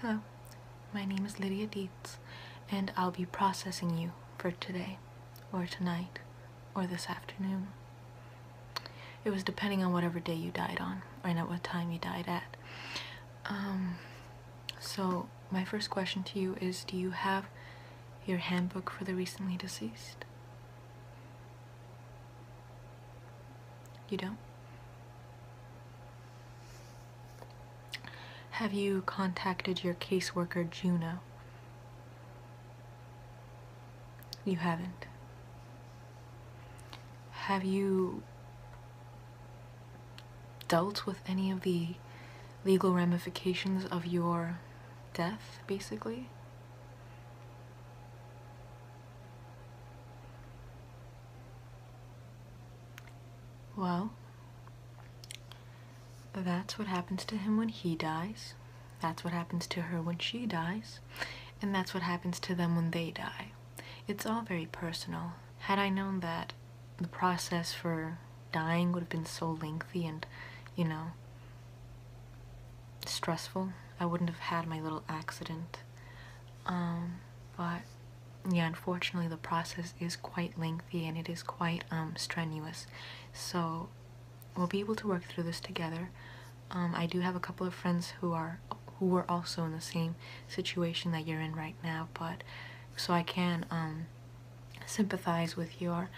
Hello, my name is Lydia Dietz, and I'll be processing you for today, or tonight, or this afternoon. It was depending on whatever day you died on, and at what time you died at. Um, so, my first question to you is Do you have your handbook for the recently deceased? You don't? Have you contacted your caseworker, Juno? You haven't. Have you dealt with any of the legal ramifications of your death, basically? Well, that's what happens to him when he dies. That's what happens to her when she dies. And that's what happens to them when they die. It's all very personal. Had I known that the process for dying would have been so lengthy and, you know, stressful, I wouldn't have had my little accident. Um, but yeah, unfortunately, the process is quite lengthy and it is quite um, strenuous. So we'll be able to work through this together. Um, I do have a couple of friends who are who were also in the same situation that you're in right now, but so I can sympathize with your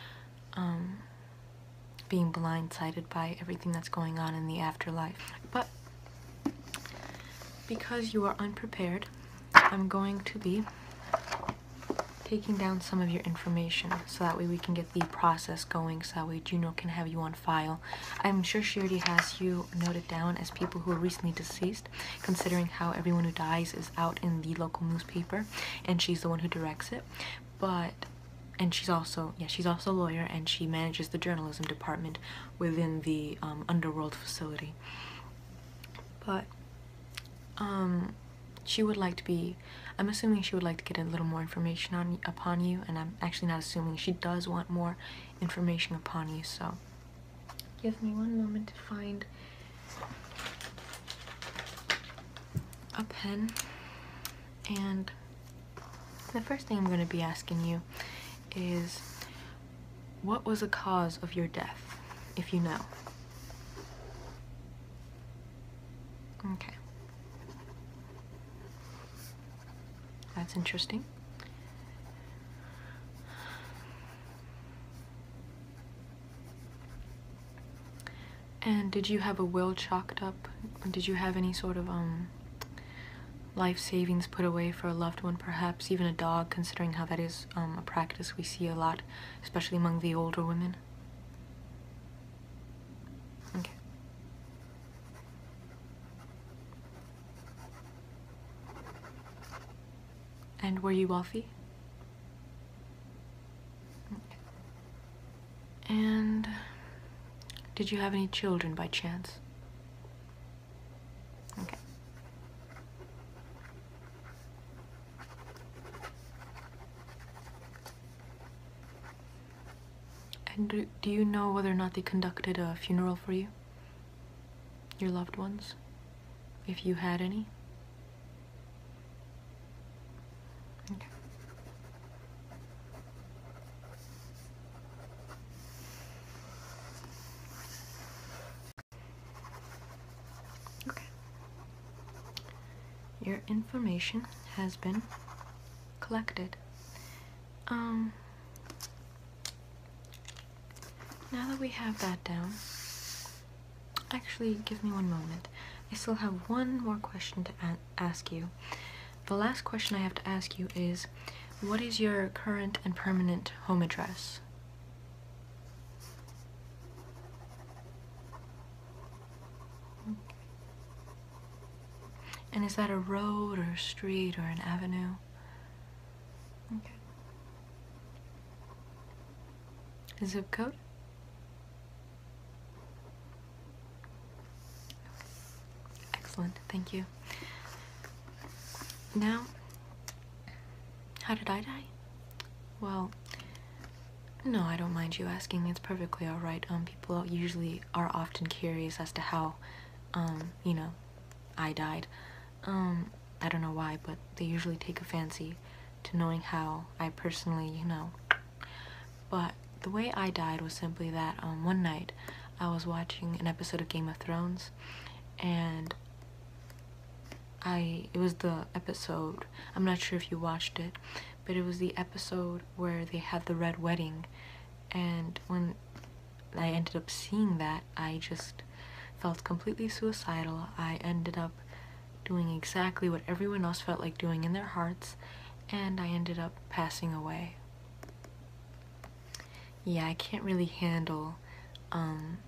being blindsided by everything that's going on in the afterlife. But because you are unprepared, I'm going to be taking down some of your information so that way we can get the process going so that way Juno can have you on file. I'm sure she already has you noted down as people who are recently deceased considering how everyone who dies is out in the local newspaper and she's the one who directs it but and she's also yeah she's also a lawyer and she manages the journalism department within the um, underworld facility but um she would like to be i'm assuming she would like to get a little more information on upon you and i'm actually not assuming she does want more information upon you so give me one moment to find a pen and the first thing I'm going to be asking you is what was the cause of your death, if you know? Okay. That's interesting. And did you have a will chalked up? Did you have any sort of um life savings put away for a loved one, perhaps even a dog, considering how that is um, a practice we see a lot, especially among the older women? Okay. And were you wealthy? And did you have any children by chance? And do, do you know whether or not they conducted a funeral for you? Your loved ones? If you had any? Okay. okay. Your information has been collected. Um now that we have that down, Actually, give me one moment. I still have one more question to ask you. The last question I have to ask you is what is your current and permanent home address? And is that a road or a street or an avenue? zip code. Excellent, thank you. Now, how did I die? Well, no, I don't mind you asking. It's perfectly alright. Um, people usually are often curious as to how, um, you know, I died. Um, I don't know why, but they usually take a fancy to knowing how I personally, you know. But the way I died was simply that um, one night I was watching an episode of Game of Thrones and I it was the episode I'm not sure if you watched it but it was the episode where they had the red wedding and when I ended up seeing that I just felt completely suicidal. I ended up doing exactly what everyone else felt like doing in their hearts, and I ended up passing away. Yeah, I can't really handle um,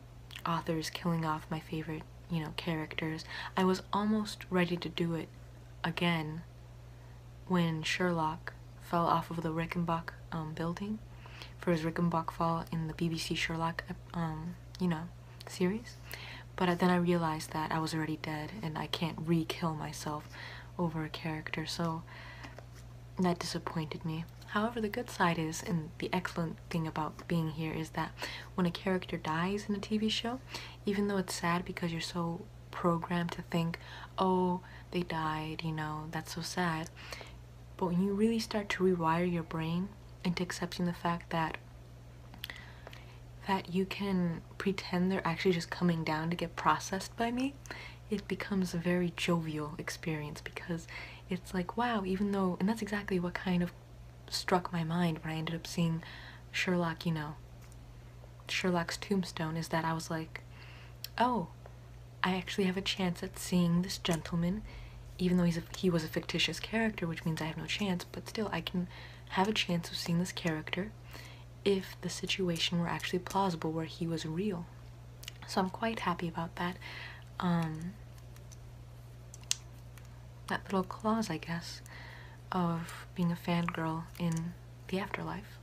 authors killing off my favorite, you know, characters. I was almost ready to do it again when Sherlock fell off of the Rickenbach um, building for his fall in the BBC Sherlock, um, you know, series. But then I realized that I was already dead and I can't re-kill myself over a character, so that disappointed me. However, the good side is, and the excellent thing about being here is that when a character dies in a TV show, even though it's sad because you're so programmed to think, oh, they died, you know, that's so sad, but when you really start to rewire your brain into accepting the fact that that you can pretend they're actually just coming down to get processed by me, it becomes a very jovial experience because it's like, wow, even though, and that's exactly what kind of struck my mind when I ended up seeing Sherlock, you know, Sherlock's tombstone, is that I was like, oh, I actually have a chance at seeing this gentleman, even though he's he was a fictitious character, which means I have no chance, but still I can have a chance of seeing this character if the situation were actually plausible where he was real. So I'm quite happy about that. Um, that little clause, I guess, of being a fangirl in the afterlife.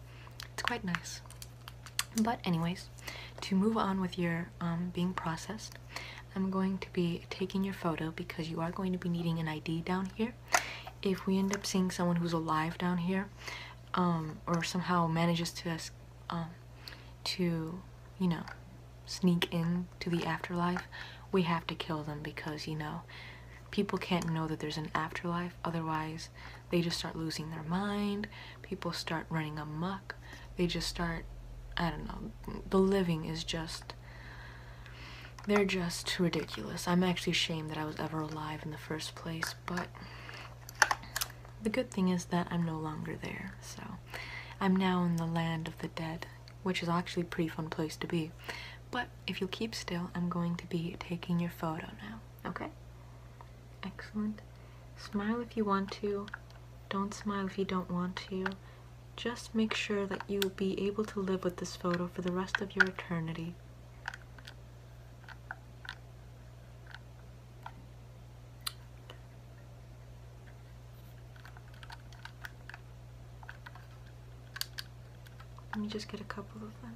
It's quite nice. But anyways, to move on with your um, being processed, I'm going to be taking your photo because you are going to be needing an ID down here. If we end up seeing someone who's alive down here, um, or somehow manages to, um, to, you know, sneak in to the afterlife, we have to kill them because, you know, people can't know that there's an afterlife. Otherwise, they just start losing their mind. People start running amuck. They just start, I don't know, the living is just, they're just ridiculous. I'm actually ashamed that I was ever alive in the first place, but the good thing is that I'm no longer there. So I'm now in the land of the dead, which is actually a pretty fun place to be. But if you'll keep still, I'm going to be taking your photo now. Okay. Excellent. Smile if you want to. Don't smile if you don't want to. Just make sure that you will be able to live with this photo for the rest of your eternity. Let me just get a couple of them.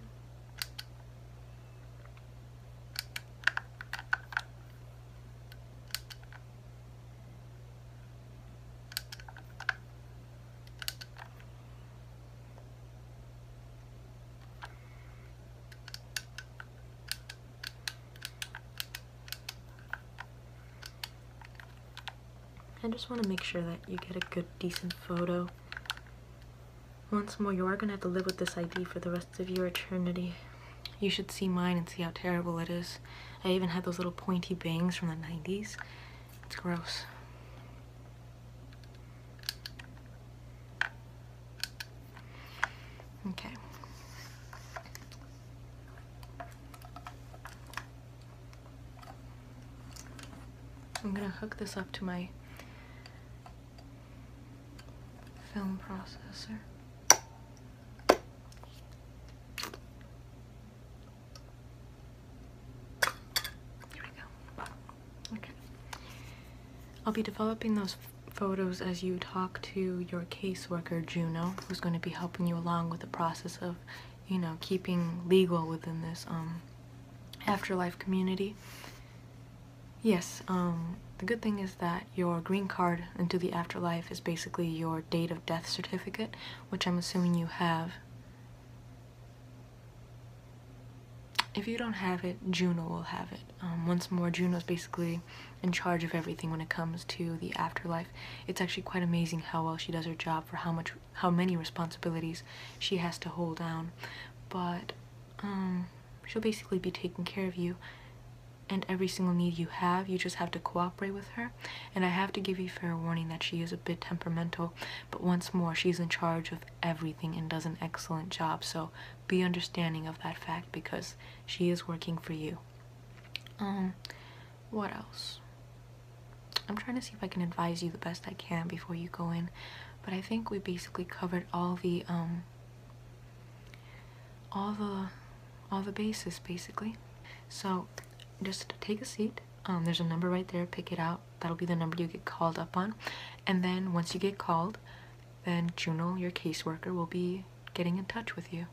I just want to make sure that you get a good, decent photo. Once more, you are going to have to live with this ID for the rest of your eternity. You should see mine and see how terrible it is. I even had those little pointy bangs from the 90s. It's gross. Okay. I'm gonna hook this up to my film processor. Here we go. Okay. I'll be developing those photos as you talk to your caseworker, Juno, who's going to be helping you along with the process of you know, keeping legal within this um, afterlife community. Yes, um, the good thing is that your green card into the afterlife is basically your date of death certificate, which I'm assuming you have. If you don't have it, Juno will have it. Um, once more, Juno's basically in charge of everything when it comes to the afterlife. It's actually quite amazing how well she does her job for how much how many responsibilities she has to hold down, but um, she'll basically be taking care of you and every single need you have. You just have to cooperate with her. And I have to give you fair warning that she is a bit temperamental, but once more, she's in charge of everything and does an excellent job. So be understanding of that fact because she is working for you. Um, what else? I'm trying to see if I can advise you the best I can before you go in, but I think we basically covered all the um all the all the bases basically. So just take a seat. Um, there's a number right there, pick it out. That'll be the number you get called up on. And then once you get called, then Juno, your caseworker, will be getting in touch with you.